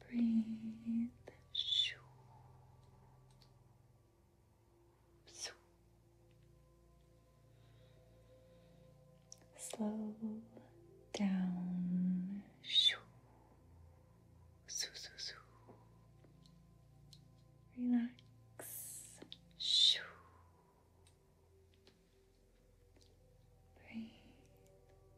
Breathe. Shoo. Shoo. Slow down. Shoo. Shoo, shoo, shoo. Relax. Shoo. Breathe.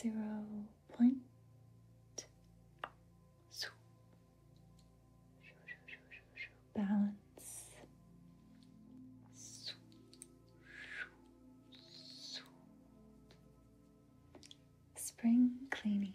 zero point balance spring cleaning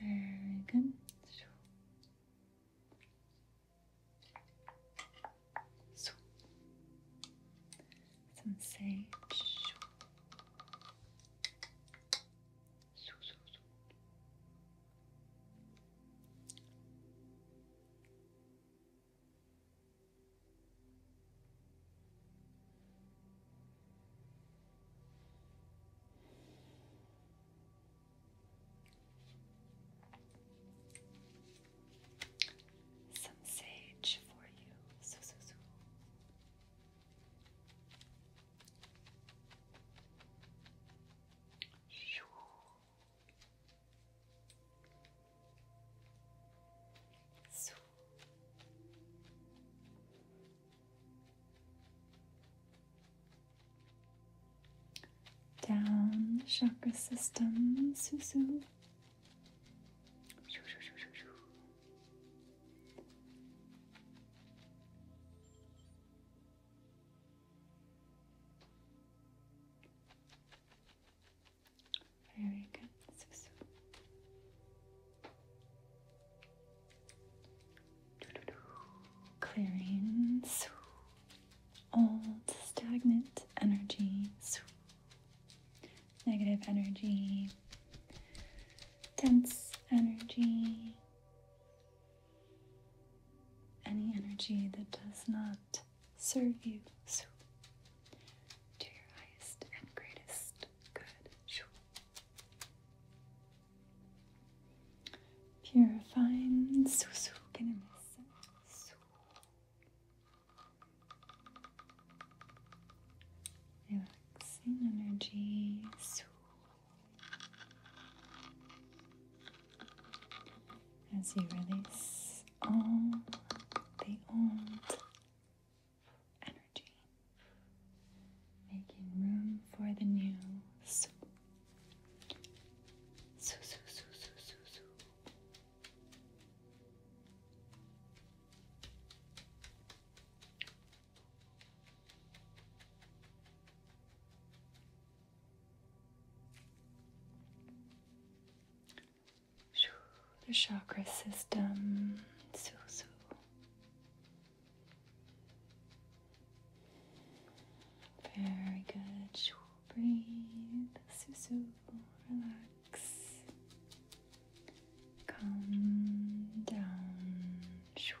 Very good. some sage. Some sage for you. So, so, so. Shoo. So. Down the chakra system, su su. Very Clearing old stagnant energy, negative energy, dense energy, any energy that does not serve you so. to your highest and greatest Good. Shoo. Purifying. Susu. Relaxing energy. As you release all the old energy, making room for the new su the chakra system, Susu. Very good. Breathe, Susu. Relax. Calm down. Susu.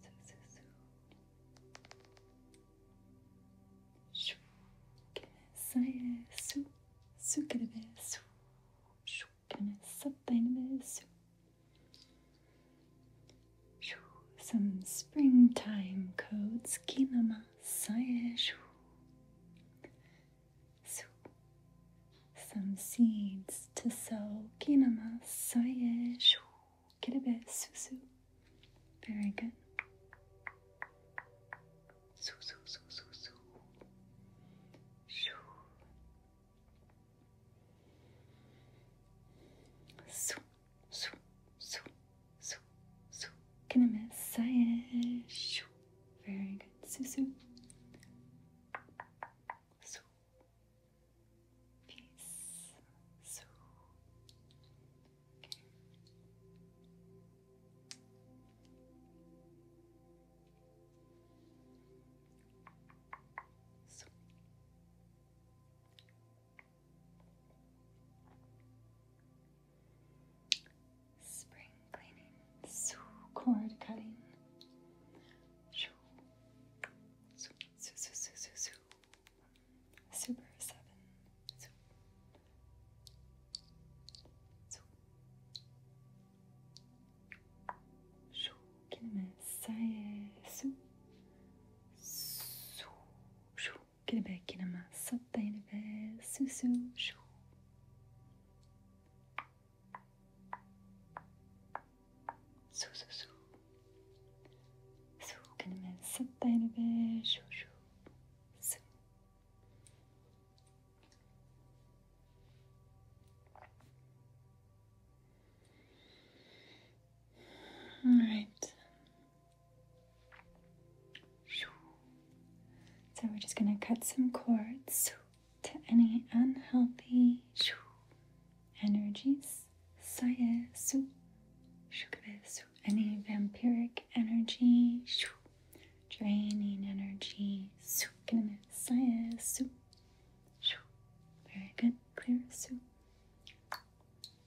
So, so, so. Shoo. Saye su. Sukerebe su. Shukene satainebe su. Shoo. Some springtime codes. Kinama saye shoo. Some seeds to sow. Kinema sayesh. shu. Kirebe susu. Very good. Su su su su su. Shu. Su su su su su. Kiname soye Very good. Susu. Su. Peace. So, okay. so. Spring cleaning, so cord cutting, shoo, Zoom, zoom, zoom, zoom, zoom, Super 7. Zoom. Zoom. Kelime su. Su. Şu kelime kelime sattayını ve su su şu. Su su su. Su kelimesi denilir. Şu şu. Su. All right. So we're just going to cut some cords to any unhealthy energies. Sayesu, shukabesu, any vampiric energy, draining energy, sayesu. Very good, clear su.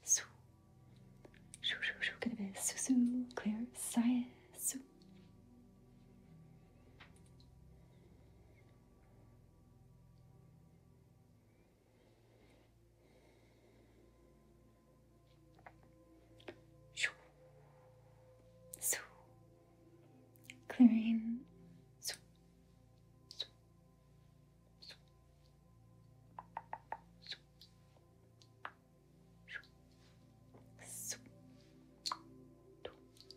Su. Shu shu shu su su clear saye su. So clearing. So, so, so, so, so, so,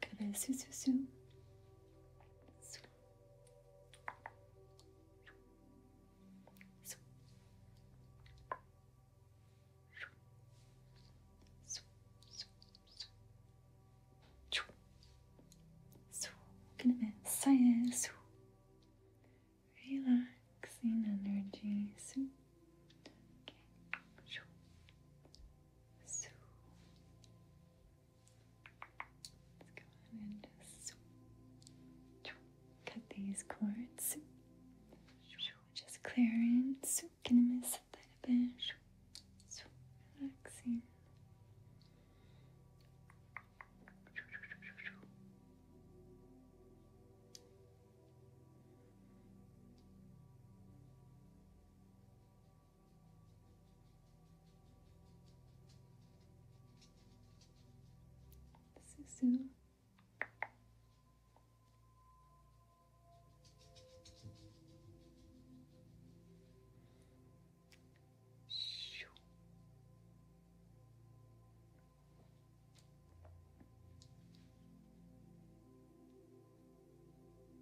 Cadê? Su, su, su. Su. Su. Su. Su. Su. Su. Cadê? Saia. Su. Relaxing energy. Su. Okay. Su. Su. Let's go on and just cut these cords. Just clearing. Gonna miss that a little bit. Relaxing. Susu. Shoo.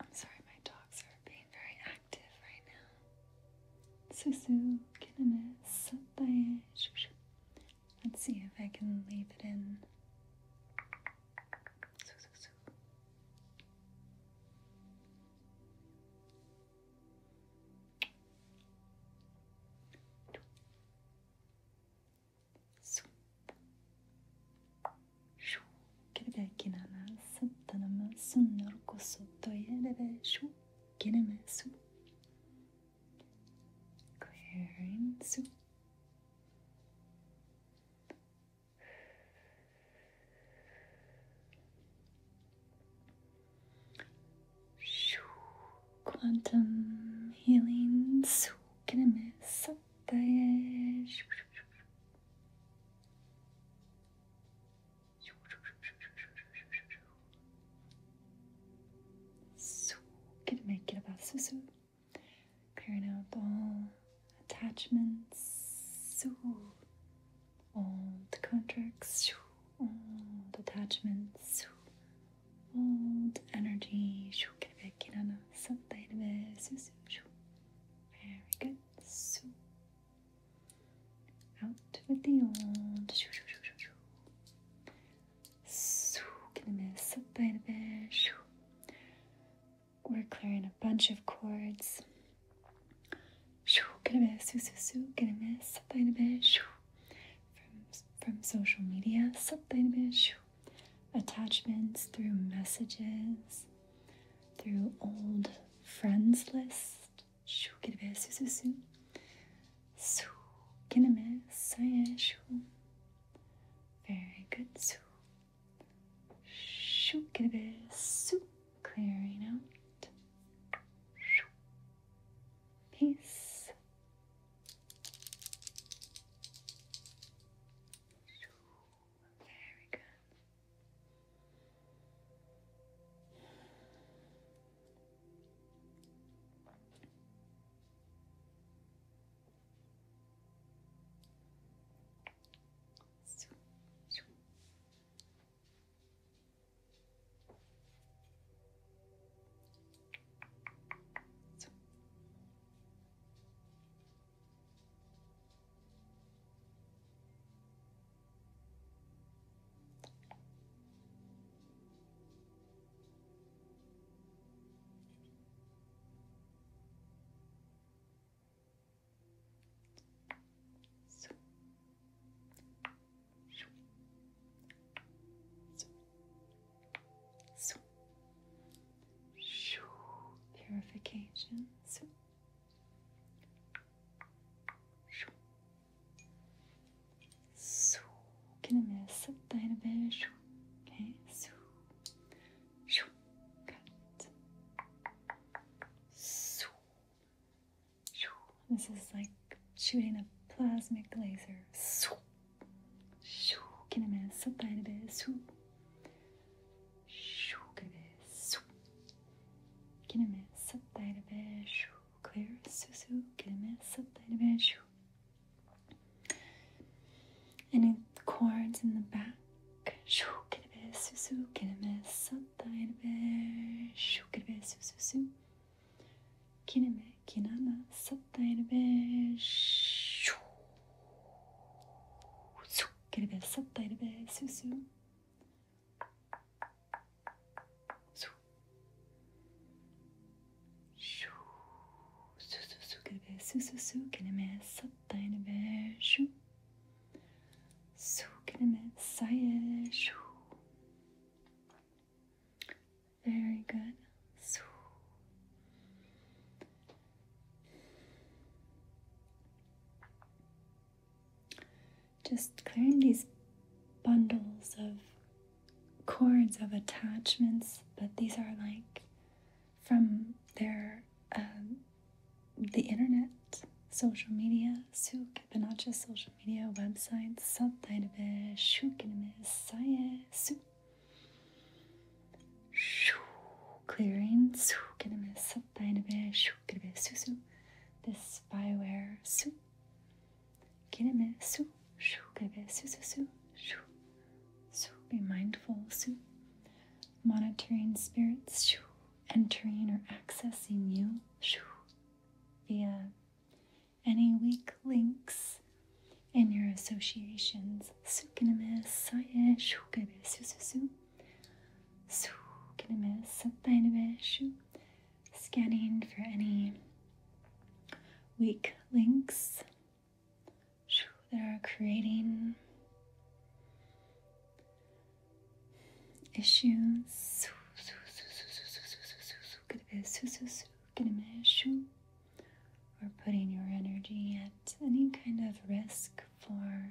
I'm sorry, my dogs are being very active right now. Susu, something? Let's see if I can leave it in. Swoop. شو كرباكي نعناع سنة نماسو نرقصو الطيارة باشو كنماسو كويرنسو شو quantum healing su كنماسو الطيارة so gonna make it about susu. Clearing out all attachments. So all the contracts. All the attachments. All the energy. Very good. So out with the old. Gonna mess up by the bash. We're clearing a bunch of cords. Gonna miss, gonna miss, from from social media, attachments through messages through old friends list. Şu gibi süsüsü. Su kineme sayeshu. Very good. Su. Şu gibi su. Clearing out. Şu. Peace. Very good. So, so. So. So. So. Purification. Soğukluğunu sıktığını böyle şu. Okay, so, so, This is like shooting a plasma laser. So, şu, kendime sıktığını böyle şu. Shoo, Kineme sattayla be shoo. Clear susu. Kineme sattayla be shoo. Any chords in the back? Shoo, kineme susu. Kineme sattayla be shoo. Kineme susu. Kineme kinana sattayla be shoo. Kineme sattayla be susu. Şu su su su gibi su su su kelime sattayını be şu su kelime saye şu very good su just clearing these bundles of cords of attachments, but these are like from their um, the internet, social media, suk, but not just social media, websites, subtitle, saye, su. Clearing, Deine şukrebe susu. This spyware su. Kineme su. Şukrebe susu su. Shu. Su. Be mindful su. Monitoring spirits shu. Entering or accessing you shu. Via any weak links in your associations. Su kineme saye şukrebe susu su. So gonna miss scanning for any weak links that are creating issues. Gonna Or putting your energy at any kind of risk for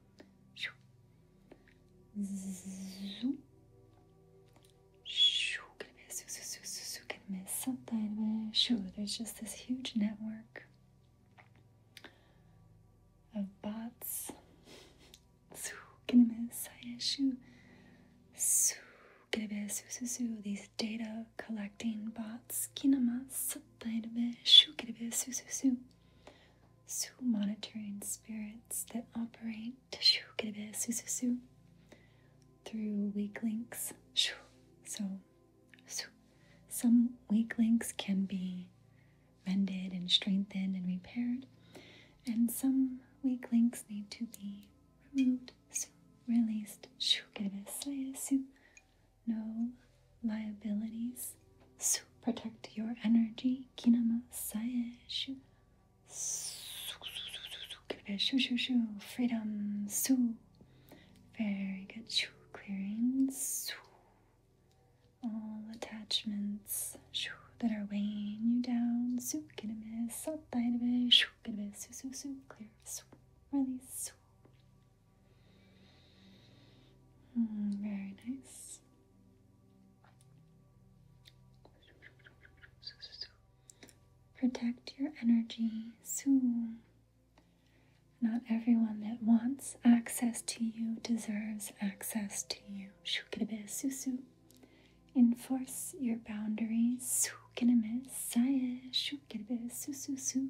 Zoom. Something sure, there's just this huge network of bots. These data collecting bots. Su monitoring spirits that operate through weak links. So, some weak links can be mended and strengthened and repaired, and some weak links need to be removed, su, released. Get a No liabilities so protect your energy. Kinama Saesh. Shoo shoo shoo. Freedom. Su. Very good. Shoo clearing. Su. All attachments shoo, that are weighing you down. Su kiname sataidabe. Shoo kiname su su su clear. Su. Release. Su. Mm, very nice. Protect your energy. So, not everyone that wants access to you deserves access to you. Enforce your boundaries. Su su su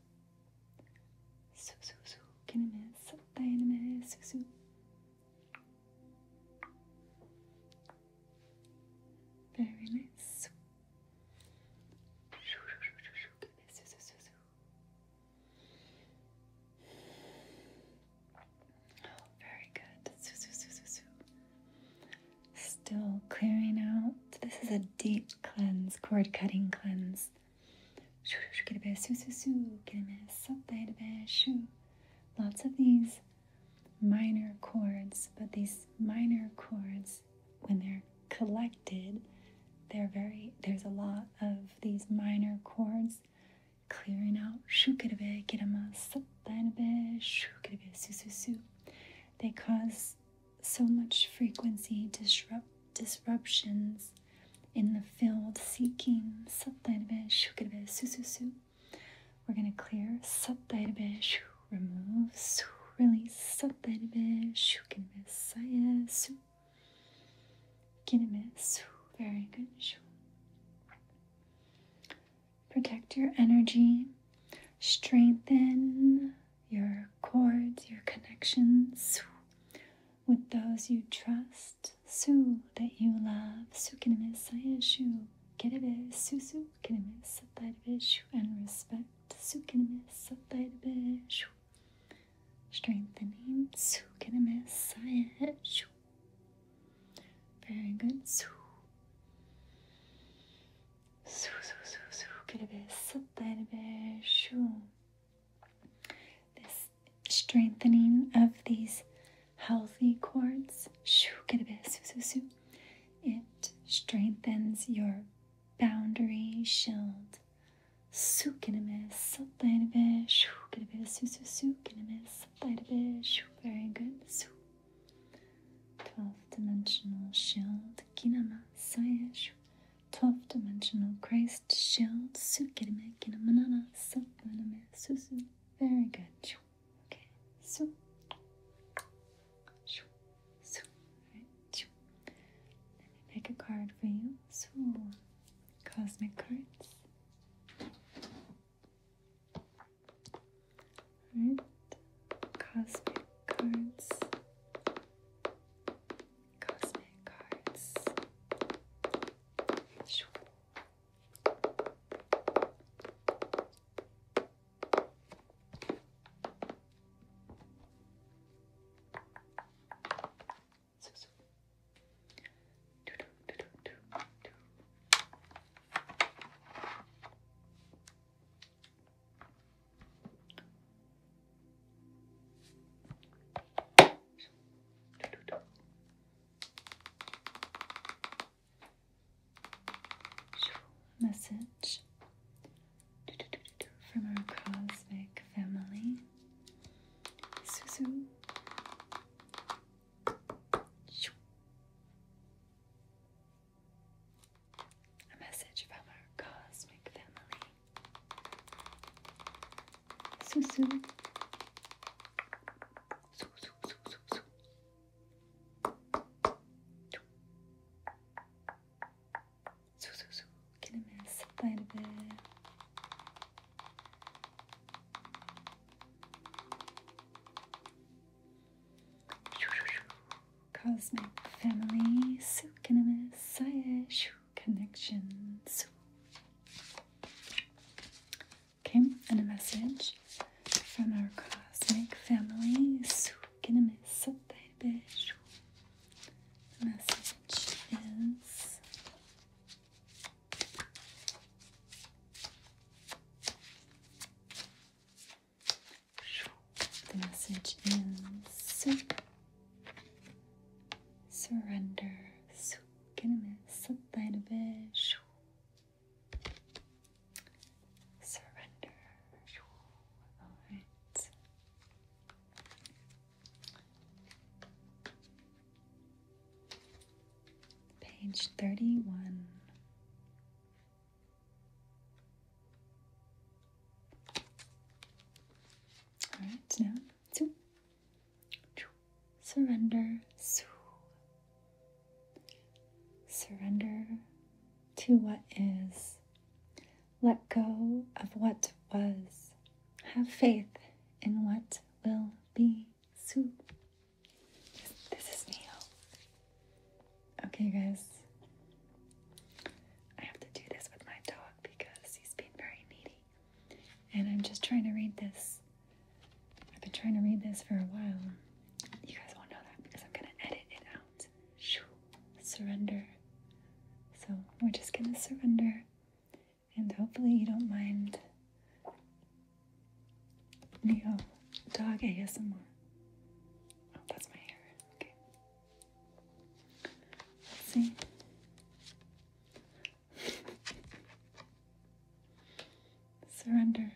su su su kinimiz dynamiz su su very nice Oh, very good. Still clearing out. This is a deep cleanse, cord cutting cleanse. Shoo, shoo, get a bash, shoo, shoo, shoo, get a mess up, get a bash, shoo. Lots of these minor chords, but these minor chords, when they're collected, they're very, there's a lot of these minor chords clearing out. Shoo, get a bash, get a mess up, get a bash, shoo, get a bash, shoo, shoo, shoo. They cause so much frequency disrupt disruptions in the field seeking Satyabe Shukadebe Sususu. We're gonna clear Satyabe Shu remove Su release Satyabe Shukadebe Saya Su Kinebe Su very good Protect your energy, strengthen your cords, your connections with those you trust. Su that you love. Su kinamisayashu. Kiribe susu kinimisataribishu. And respect. Su kinimisataribishu. Strengthening. Su kinimisayahu. Very good. Su. Su su su su. Kiribe sataribishu. This strengthening of these healthy cords, it strengthens your boundary shield. Very good. Twelve dimensional shield. Kinama 12 dimensional Christ moist shelled sukirimeki no manana sapaname susu. Very good. Okay. So. So. Let me pick a card for you. So. Cosmic cards. Alright. Cosmic cards cosmic cards. Message from our cosmic family. A message from our cosmic family. Susu. Susu, Susu, Susu. Susu, kelimesi darbe. Cosmic family, su kelimesi sayı şu connections. Okay, and a message from our cosmic family. The message is the message is surrender. Kendime sırtlarını şu surrender. Alright. Page 31. Alright, now two. Surrender. Surrender to what is. Let go of what was. Have faith in what will be. This is Neo. Okay, guys. I have to do this with my dog because he's being very needy. And I'm just trying to read this. I've been trying to read this for a while. You guys won't know that because I'm going to edit it out. Surrender. So we're just going to surrender. And hopefully you don't mind Neo oh, Dog ASMR. Oh, that's my hair. Okay. see. Surrender.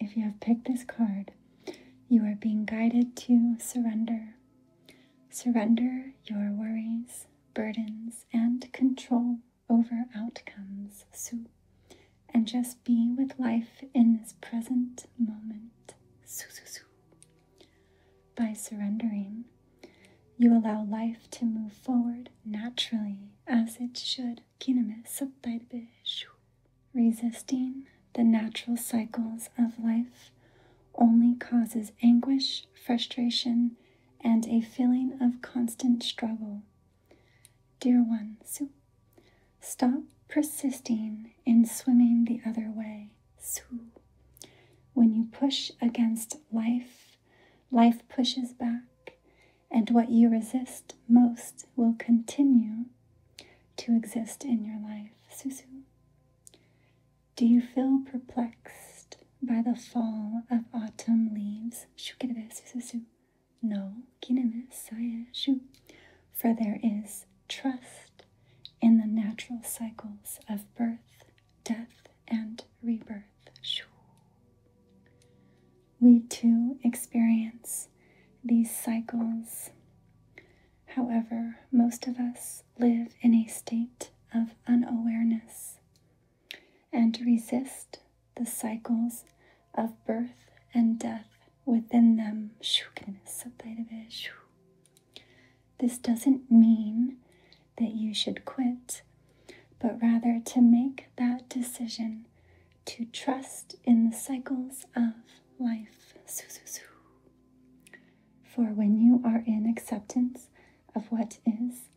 If you have picked this card, you are being guided to surrender. Surrender your worries, burdens, and control over outcomes. Sue, and just be with life in this present moment. Sue, sue, sue. By surrendering, you allow life to move forward naturally as it should. Resisting the natural cycles of life only causes anguish, frustration, and a feeling of constant struggle. Dear one, stop persisting in swimming the other way su. When you push against life, life pushes back, and what you resist most will continue to exist in your life. Susu. Do you feel perplexed by the fall of autumn leaves? Shukirebe susu. No, kineme saya shu. For there is trust in the natural cycles of birth, death, and rebirth. We too experience these cycles. However, most of us live in a state of unawareness and resist the cycles of birth and death within them. This doesn't mean that you should quit, but rather to make that decision to trust in the cycles of life. For when you are in acceptance of what is,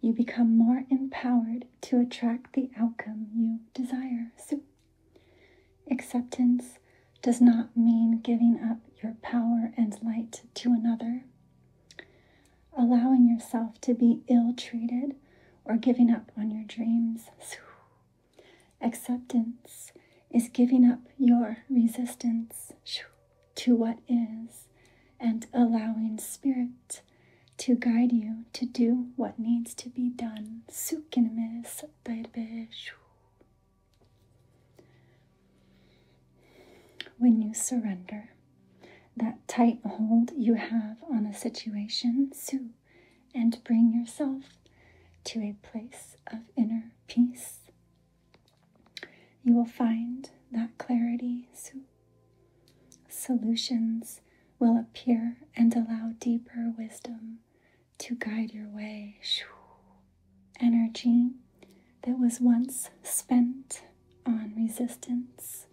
you become more empowered to attract the outcome you desire. So, acceptance does not mean giving up your power and light to another allowing yourself to be ill treated or giving up on your dreams. Acceptance is giving up your resistance to what is and allowing spirit to guide you to do what needs to be done. When you surrender, that tight hold you have on a situation, sue and bring yourself to a place of inner peace. You will find that clarity, sue. Solutions will appear and allow deeper wisdom to guide your way energy that was once spent on resistance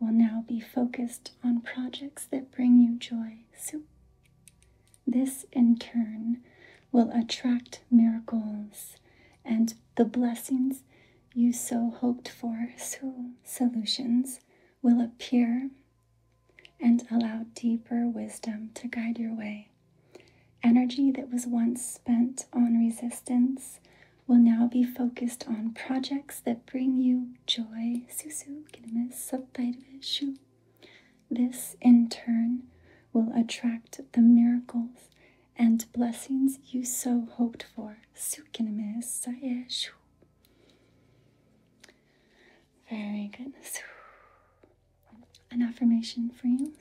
will now be focused on projects that bring you joy. So, this in turn will attract miracles and the blessings you so hoped for. So, solutions will appear and allow deeper wisdom to guide your way. Energy that was once spent on resistance will now be focused on projects that bring you joy. This, in turn, will attract the miracles and blessings you so hoped for. Very good. An affirmation for you.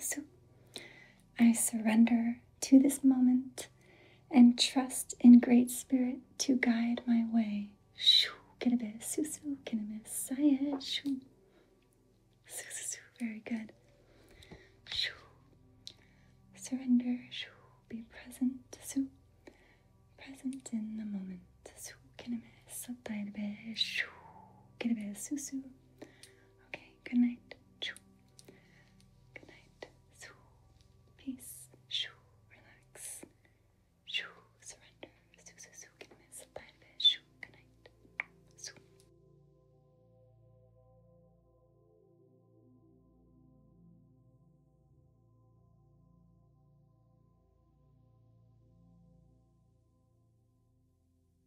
I surrender to this moment and trust in Great Spirit to guide my way. Shoo, kinabis, susu, kinabis, sayed, shoo. Susu, very good. Shoo. Surrender, shoo. Be present, su. Present in the moment. Su, kinabis, satayabis, shoo, kinabis, susu. Okay, Good night. Choo. Good night. Shoo. Peace. Shoo. Relax. Shoo. Surrender. Shoo, Shoo. Good night. Shoo.